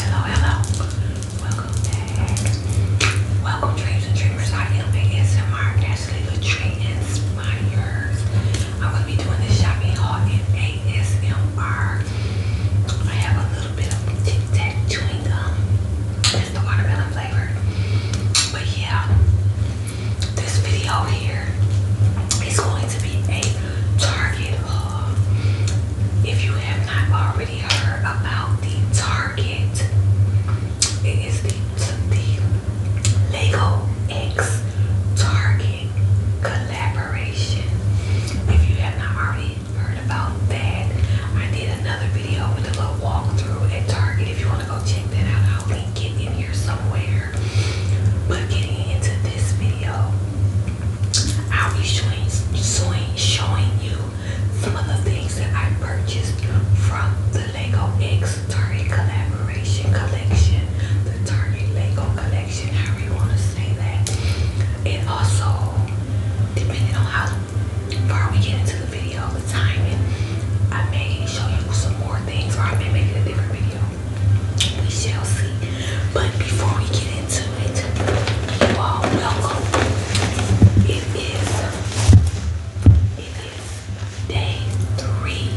Hello, hello. Welcome Welcome, dreams and dreamers. I am a SMR Ashley Latree Inspires. I'm going to be doing this shopping haul in ASMR. I have a little bit of Tic Tac chewing gum. It's the watermelon flavor. But yeah, this video here is going to be a Target haul. If you have not already heard about the Target, it is the, the Lego X Target collaboration. If you have not already heard about that, I did another video with a little walkthrough at Target. If you want to go check that out, how we can get in here somewhere. But getting into this video, I'll be showing, showing, showing you some of the things that I purchased from the Lego X Target Collaboration Collection, the Target Lego Collection, however you want to say that. And also, depending on how far we get into the video, the timing, I may show you some more things or I may make it a different video. We shall see. But before we get into it, you all welcome. It is it is day three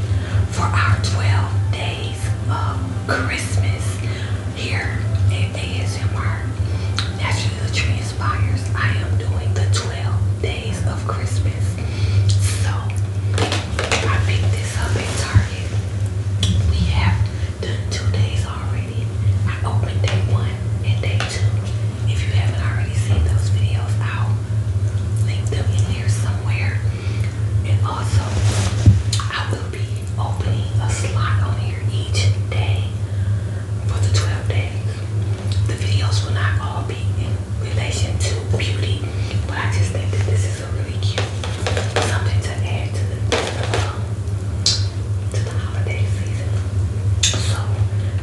for our 12 days of Christmas here at ASMR. Naturally the I am doing the 12 days days of Christmas. So I picked this up at Target. We have done two days already. I opened day one and day two. If you haven't already seen those videos, I'll link them in here somewhere. And also, I will be opening a slot on here each day for the 12 days. The videos will not all be in relation to beauty, but I just think that this is a really cute something to add to the to the holiday season. So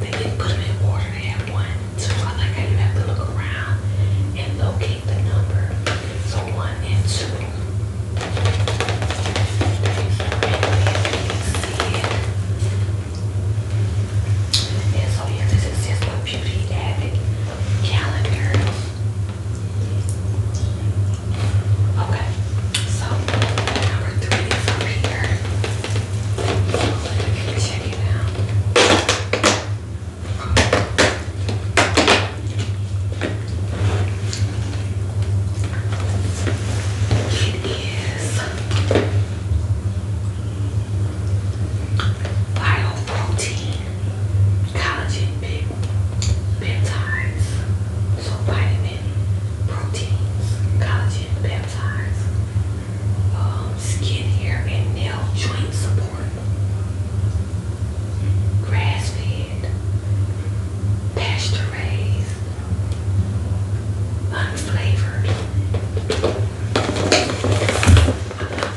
they didn't put them in order. They had one, two. I like how you have to look around and locate the number. So one and two. And so oh yeah, this is just my Beauty Avid calendar. Okay, so number three is here. Let me check it out. It is Bioprotein, collagen peptides, so vitamin, proteins, collagen peptides, um, skin, hair, and nail joint support, grass fed, pasture raised, unflavored. I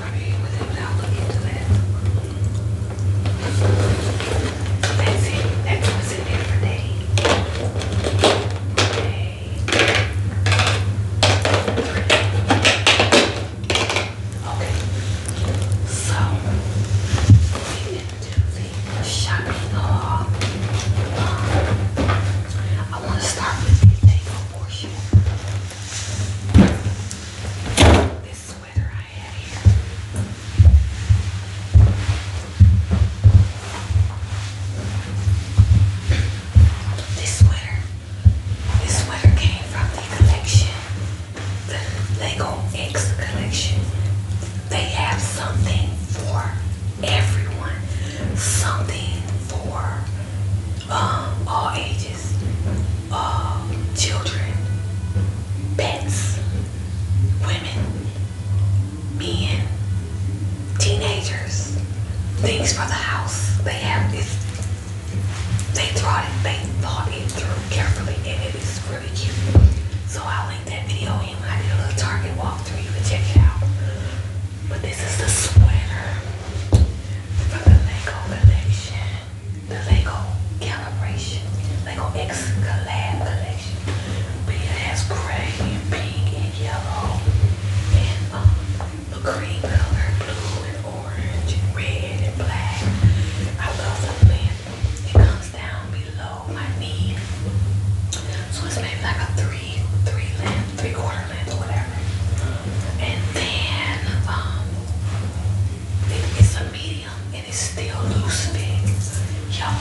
That's it. That's what's in there for day. Okay. So we into the shopping haul. I want to start with the takeout portion. This sweater I had here. This sweater, this sweater came from the collection, the Lego X collection. They have something for everyone, something for all ages, all children, pets, women, men, teenagers, things for the house. They have this, they thought it, they thought it through carefully and it is really cute. So I'll link that video in. I did a little Target walkthrough. You can check it out. But this is the sweater for the Lego collection. The Lego calibration. Lego X collab collection. it has gray and pink and yellow and a uh, green color, blue and orange and red and black. I love something. It comes down below my knee. So it's made like a three three, quarter length, or whatever. And then um, it's a medium and it's still loose fit. Y'all,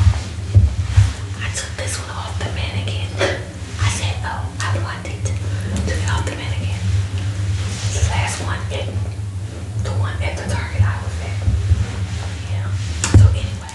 I took this one off the mannequin. I said, oh, I want it. Took it off the mannequin. This last one, it, the one at the Target I was at. Yeah. So anyway,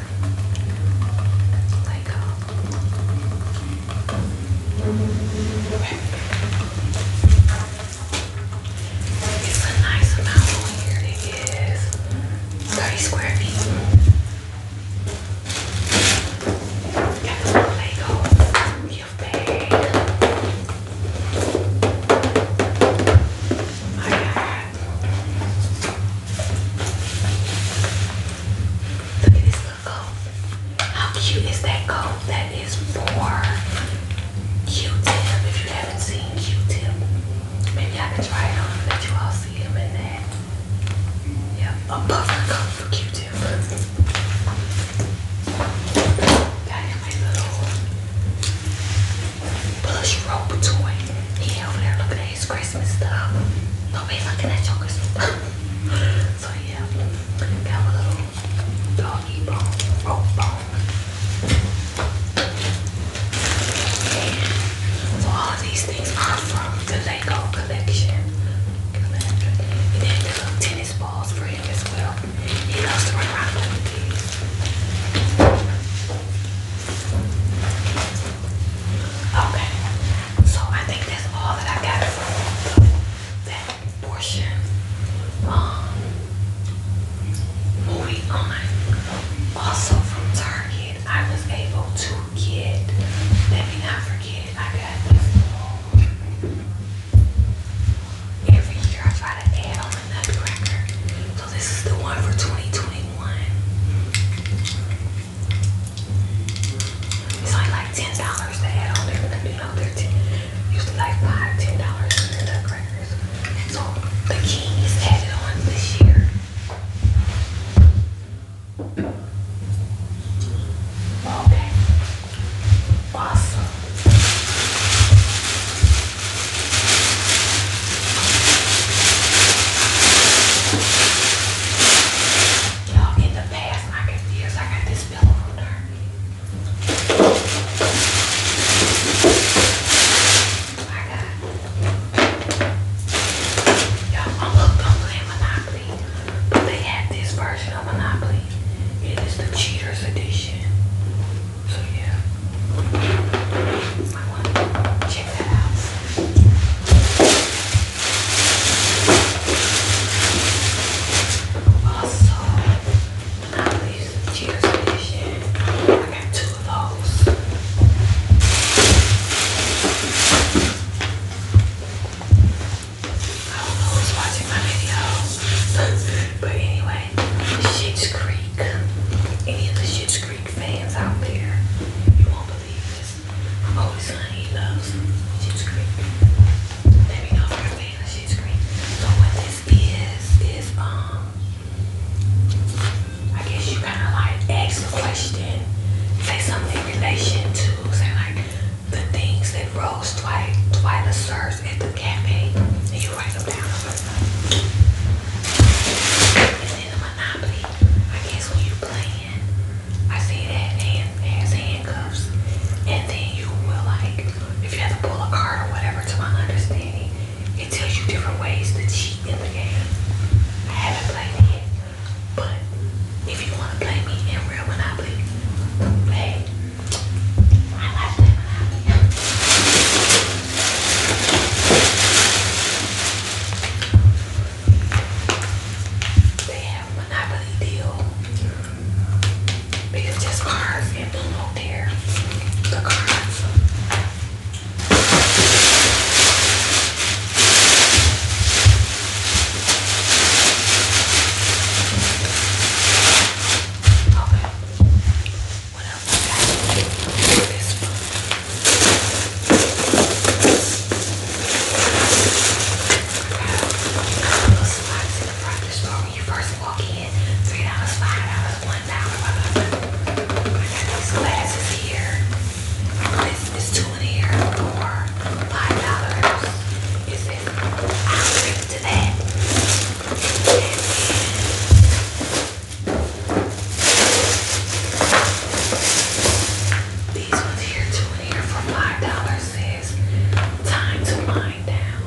Like, uh, It's a nice amount on here. It is 30 square feet. Got this Lego gift bag. I Look at this little How cute is that goat? That is for Q-Tip. If you haven't seen Q-Tip, maybe I can try it on and let you all see him in that. Yeah, a buffer goat Q-Tip. Got him little plush rope toy. He over there looking at Today's Christmas stuff. Nobody's looking at your Christmas so yeah, got a little doggy bone, rope bone. so all these things are from the Lego collection. And then the little tennis balls for him as well. He loves to run around with these. Okay. So I think that's all that I got for that portion. Um, moving on. Also from Target, I was able to get. Let me not forget, I got um, Every year I try to add on another record. So this is the one for 2021. It's only like ten dollars They had on there. You know, they're usually like five, ten dollars for the crackers. So the king is added on this year. Okay. Awesome. Y'all, in the past, I got this. I got this pillow from I got. Y'all, I'm hooked on playing Monopoly, but they had this version of Monopoly. It is the Cheaters Edition. So yeah, I want Check I am use the Cheetos edition. I got two of those. I don't watching my video, but anyway, Schitt's Creek, any of the Schitt's Creek fans out there, you won't believe this loves, always honey loves she's green. Let me know if you're a fan of she's So what this is is um I guess you kinda like ask a question, say something in relation to say like the things that Rose Twilight Twyla serves at the cafe and you write them down. And then a monopoly, I guess when you playing I see that hand has handcuffs. And then you will like, if you have to pull a card or whatever, to my understanding, it tells you different ways to cheat in the game. I haven't played it yet, but if you want to play me in real Monopoly, hey, I like Monopoly. They have monopoly deal. have just cards and boom out there. Okay. What else I got? This one spots in the front of the store when you first walk in. Three dollars, five dollars, one dollar, I got these glasses here. It's, it's two in here for five dollars. It's in I'll drink to that. And then these ones here, two here for five dollars says time to wind down.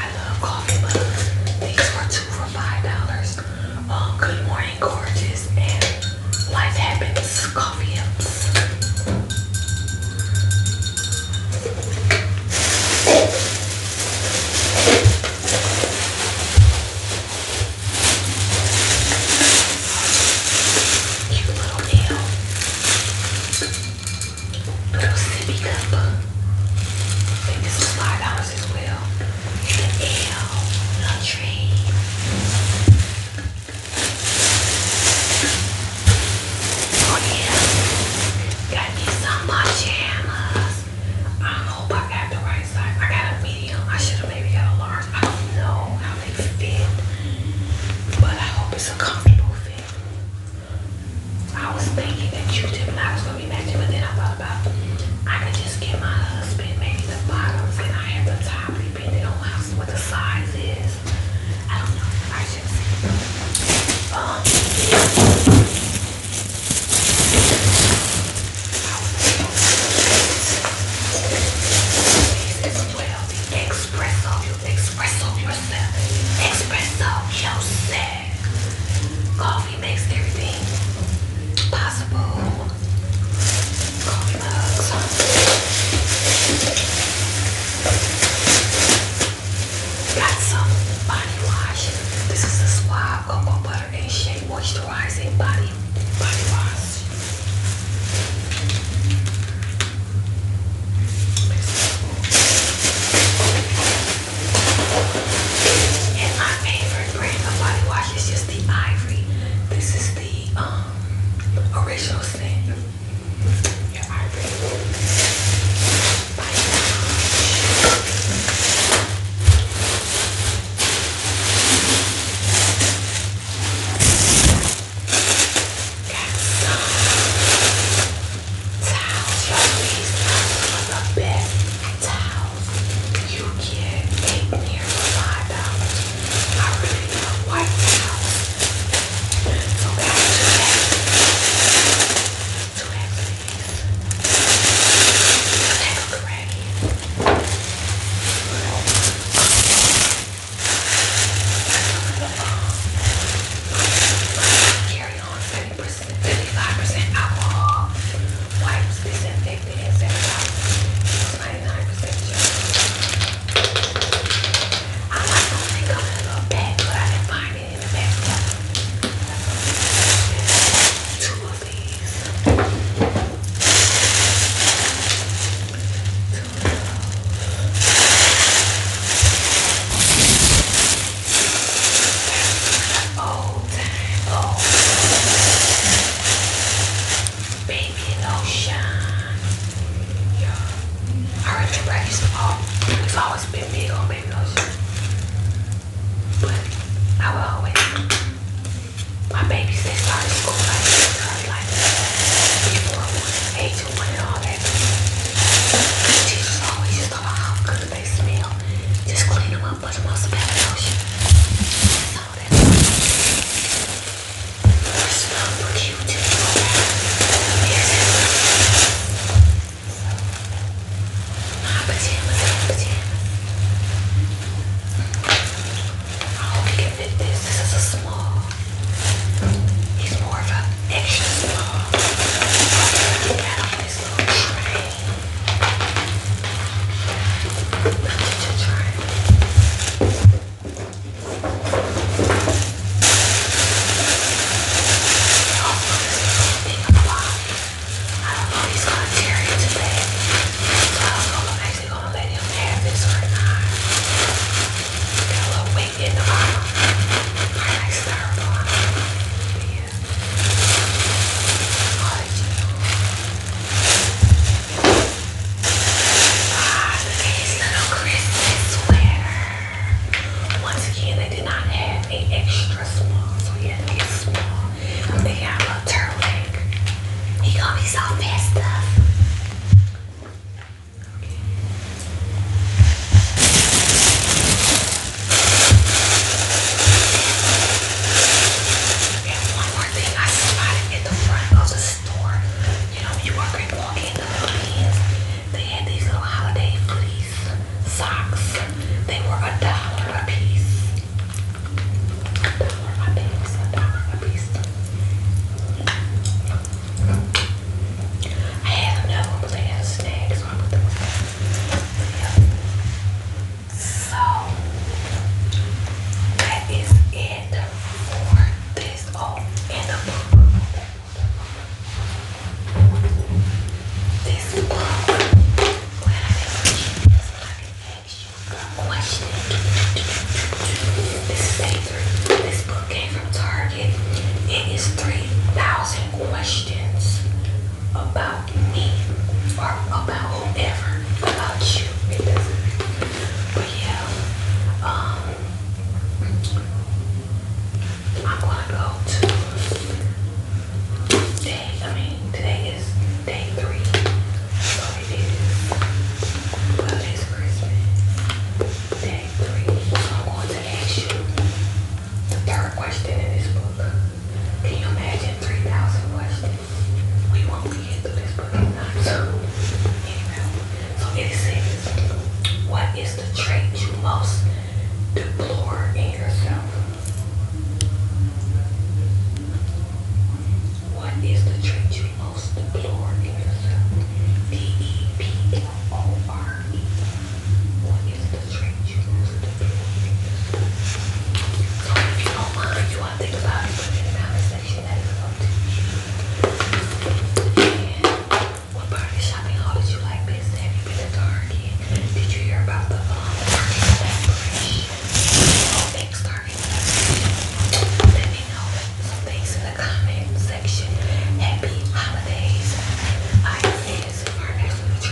I love coffee, but these were two for five dollars. Oh, good morning, gorgeous, and life happens. Coffee Cute little nail. Little sippy cup. I think this is as well. The L, little tree. Oh yeah. Got me some pajamas. I hope I got the right size. I got a medium. I should have maybe got a large. I don't know how they fit, but I hope it's a comfortable fit. I was thinking that you did not was gonna be matching, but then I thought about I could just get my husband maybe the bottoms, and I have the top depending on how what the size is. I don't know. I should see. Um, as well the espresso, espresso yourself, espresso yourself. Coffee makes everything possible. Coffee mugs. Got some body wash. This is the Suave Cocoa Butter and Shea Moisturizing Body Body Wash. And my favorite brand of body wash is just the Ivory. This is the um, original scent. Yeah, Ivory. Towels, bed towels you get eight near five dollars. I really love white towels. So guys, so we have Carry on 70%, 75% alcohol. Wipes disinfected and sanitized. 99% I like those they come a little bag, but I did find in the background. Two of these. Two of those. Old time, old time. Baby lotion. Yeah. I really practice all. It's always been big on baby lotion. But I will always, my babies said started school like this like before age one and all that. The teachers always just talk about how good they smell. Just clean them up, put them on some baby lotion. That's all that. They smell cute. Ah, pajamas, pajamas. Oh, we can fit this. This is a small. He's more of an extra small. Get that on this little tray. Oh, this little thing on the bottom. I don't know if he's gonna tear it today. So I don't know if I'm actually gonna let him have this or not. a little weight in the bottom. I like styrofoam. Yeah. Oh, Ah, little Christmas sweater. Once again, they did not have an extra small, so he had to get small. They got a little He gonna be so messed Okay. And one more thing I spotted at the front of the store. You know, you are walking in the Philippines, they had these little holiday fleece socks. They were a dollar a piece. dollar a piece. dollar a piece. I had another one, but they had a snag, so I put them yeah. So that is it for this. Oh, this book, when I mentioned this, I can ask you one question. This is paper. This book came from Target. It is 3,000 questions about me or about whoever, about you. But yeah, um, I'm gonna go to day, I mean, today is day three. So it is, well, it's Christmas. Day three. So I'm going to ask you the third question in this book. Can you imagine 3,000 questions? We won't get through this book, i so it says, what is is the trait you most deplore in yourself? What is the trait you most deplore in yourself? D-E-P-L-O-R-E. What is the trait you most deplore So if you don't mind, you want to think about it, put it what part of shopping hall did you like best? Did you hear about the um, Target collaboration? The whole X Let me know some things in the comment section. Happy holidays. I say this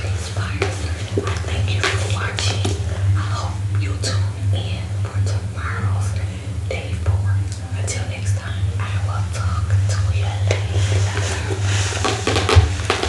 is thank you for watching. I hope you tune in for tomorrow's day four. Until next time, I will talk to you later.